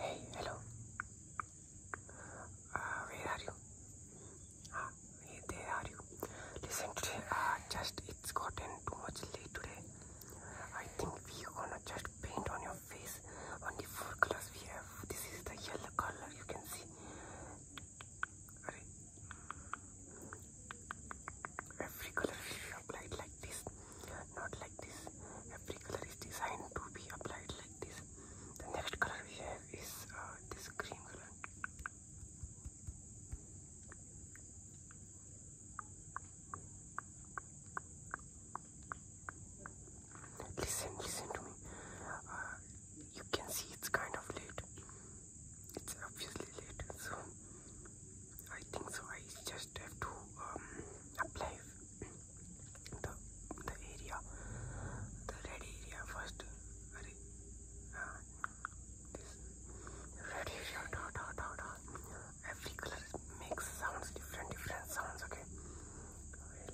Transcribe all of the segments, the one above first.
Hey, hello. Uh, where are you? Uh, are you. Listen, today, uh, just it's gotten too much late today. I think we gonna just paint on your face only four colors we have. This is the yellow color you can see. Every color we applied like this not like this. Every color is designed to be applied like this. The next color we have is uh, this green color. Listen, listen to me. Uh, you can see it's kind of late. It's obviously late, so I think so. I just have to um, apply the the area the red area first uh, this red area dot dot dot dot every color makes sounds different different sounds okay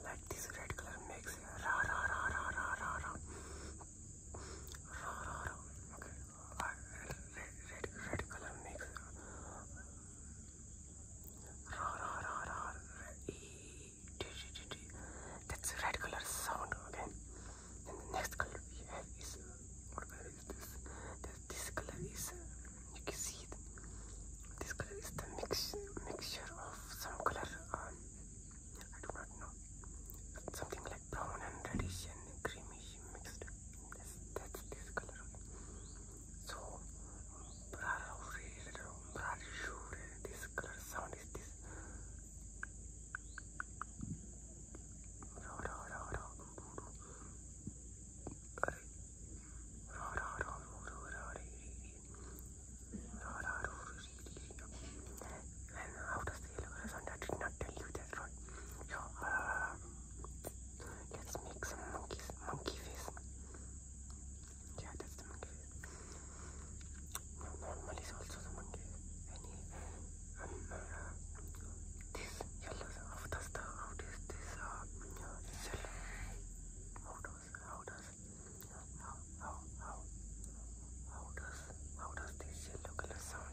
like this red color makes ra ra ra ra ra ra ra ra ra ra okay uh, red, red red color makes that's red color sound, okay? And the next color we have is what this? this color is you can see it. This color is the mix mixture of some color. Um, I do not know. Something like brown and reddish and creamy mixed this that's this color so this color sound is this and how does the yellow color sound? I did not tell you that, right? So, uh, Let's make some monkeys, monkey face. Yeah, that's the monkey face. normal is also the monkey. Any, um, uh, this how does the, how does this, uh, cell, how does, how does, how, how, how, how does, how does this sound?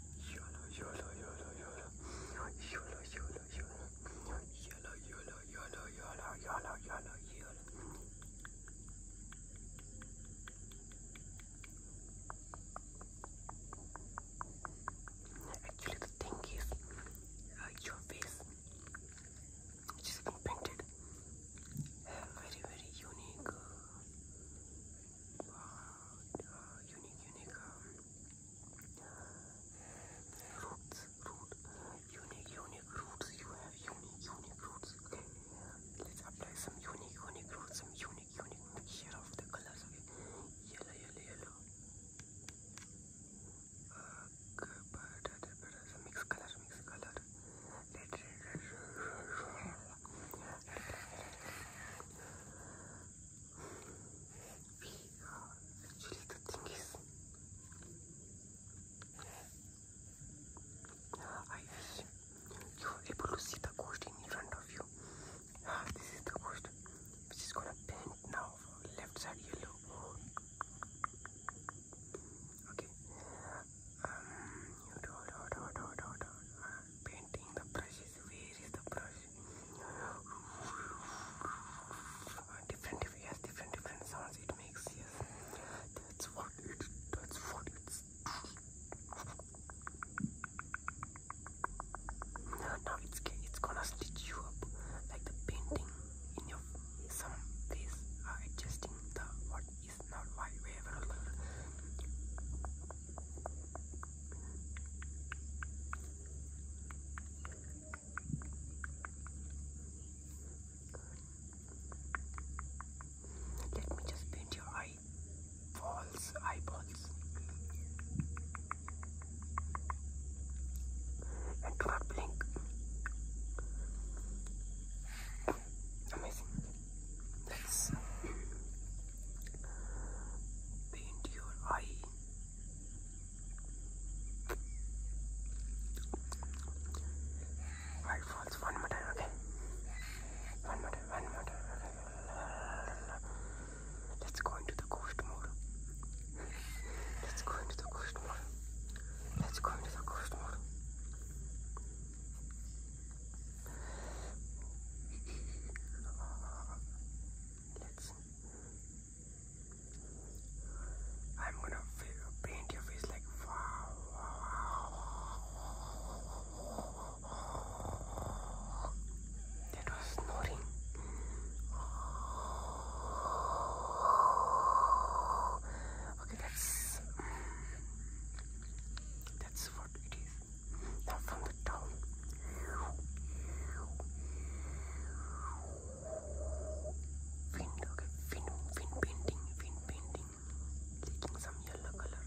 yellow, yellow, the thing is, uh, your face just been painted uh, very, very unique uh, unique, unique roots, unique, unique roots. You have unique, unique roots. Okay, let's apply some unique, unique roots, some unique, unique mixture of the colors. Okay, yellow, yellow, yellow. Uh, but, but, but, mix color, mix color. Red, red, red, we, actually, the thing is, I wish you were able to see the ghost in front of you. Ah, this is the ghost which is gonna bend now left side yellow. Okay, um, you told, told, told, told, told, told. painting the brushes. Where is the brush? different, different, sounds it makes. Yes, that's what it. That's what it's. Now it's it's gonna stitch you up like the painting in your face. Uh, adjusting the what is is not my favorite. Let me just paint your eyeballs, eyeballs. And do not blink. Amazing. Let's paint your eye. Right falls one more time, okay? One more one more Let's go into the ghost mode. Let's go into the ghost mode. Let's go into the ghost mode. Let's. I'm gonna paint your face like wow, wow. That was snoring. Okay, that's. That's what it is. Now from the top. Wind, okay, wind, wind painting, wind painting, taking some yellow color,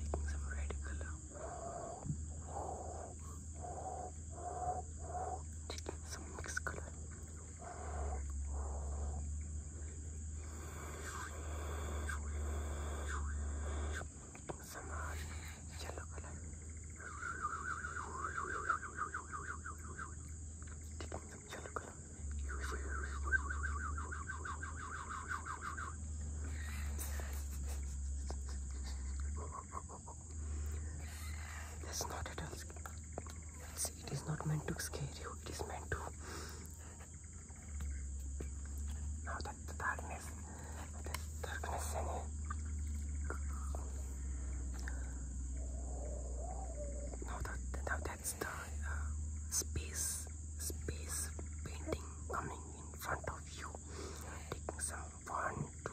taking some red color, taking some mixed color, some are yellow color. Taking some yellow color. That's not at all. It's it is not meant to scare you. It is meant to. Now that darkness, this darkness Now that now that's the uh, space space painting coming in front of you. Taking some one two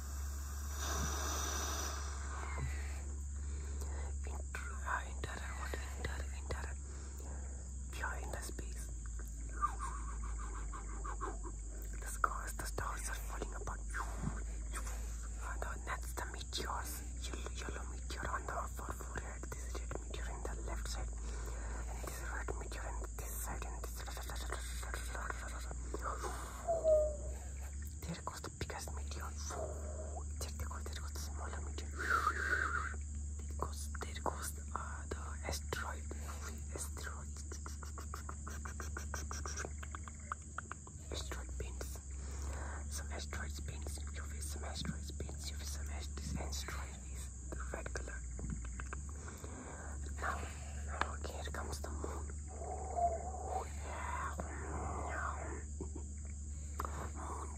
Enter, uh, enter, what, enter, enter. We are in the space. The stars, the stars are falling apart. Uh, the, that's the meteors. Yellow, yellow meteor on the far forehead. This red meteor in the left side. And this red meteor in this side. And this. There goes the biggest meteor. There goes, there goes the smaller meteor. There goes, there goes the, uh, the asteroid. Asteroid. Asteroid pins. Some asteroids pins in your face. Some asteroids pins in your face. Some asteroids. Asteroid is the red color. Now, here comes the moon. Moon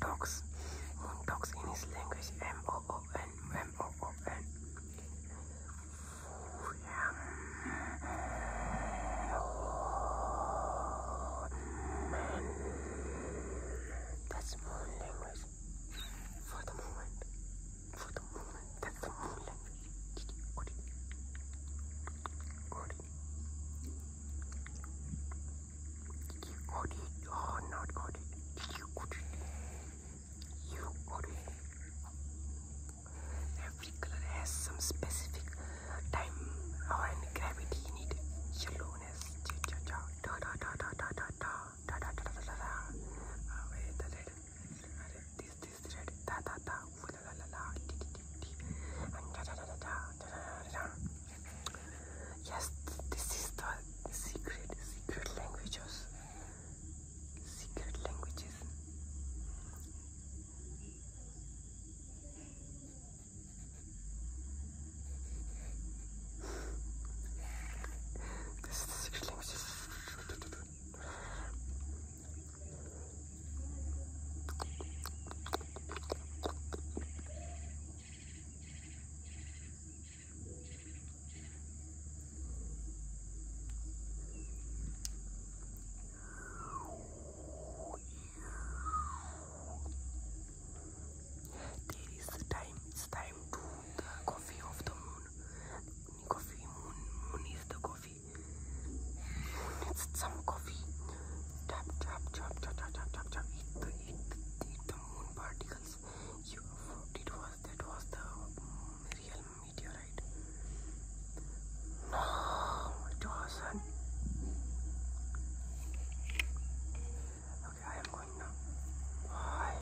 talks. Moon talks in his language. M O O N. M O O N. That's moon language for the moment for the moment. That's the moment. Did you got it or not got it? Did Every color has some specific time and gravity in it. Yellowness, cha cha cha, da da da da da da da da da da da da. Wait, the red अरे this this red ta ta ta ooh la la la la ti ti ti ti and da da da da da da da da yes this is the secret secret languages secret languages this is the secret languages there is time, it's time to the coffee of the moon. Coffee moon moon the coffee. Moon some coffee. Tap tap tap tap tap tap tap eat the eat eat the moon particles. You it was that was the real meteorite. No it wasn't. Okay, I am going now. Bye.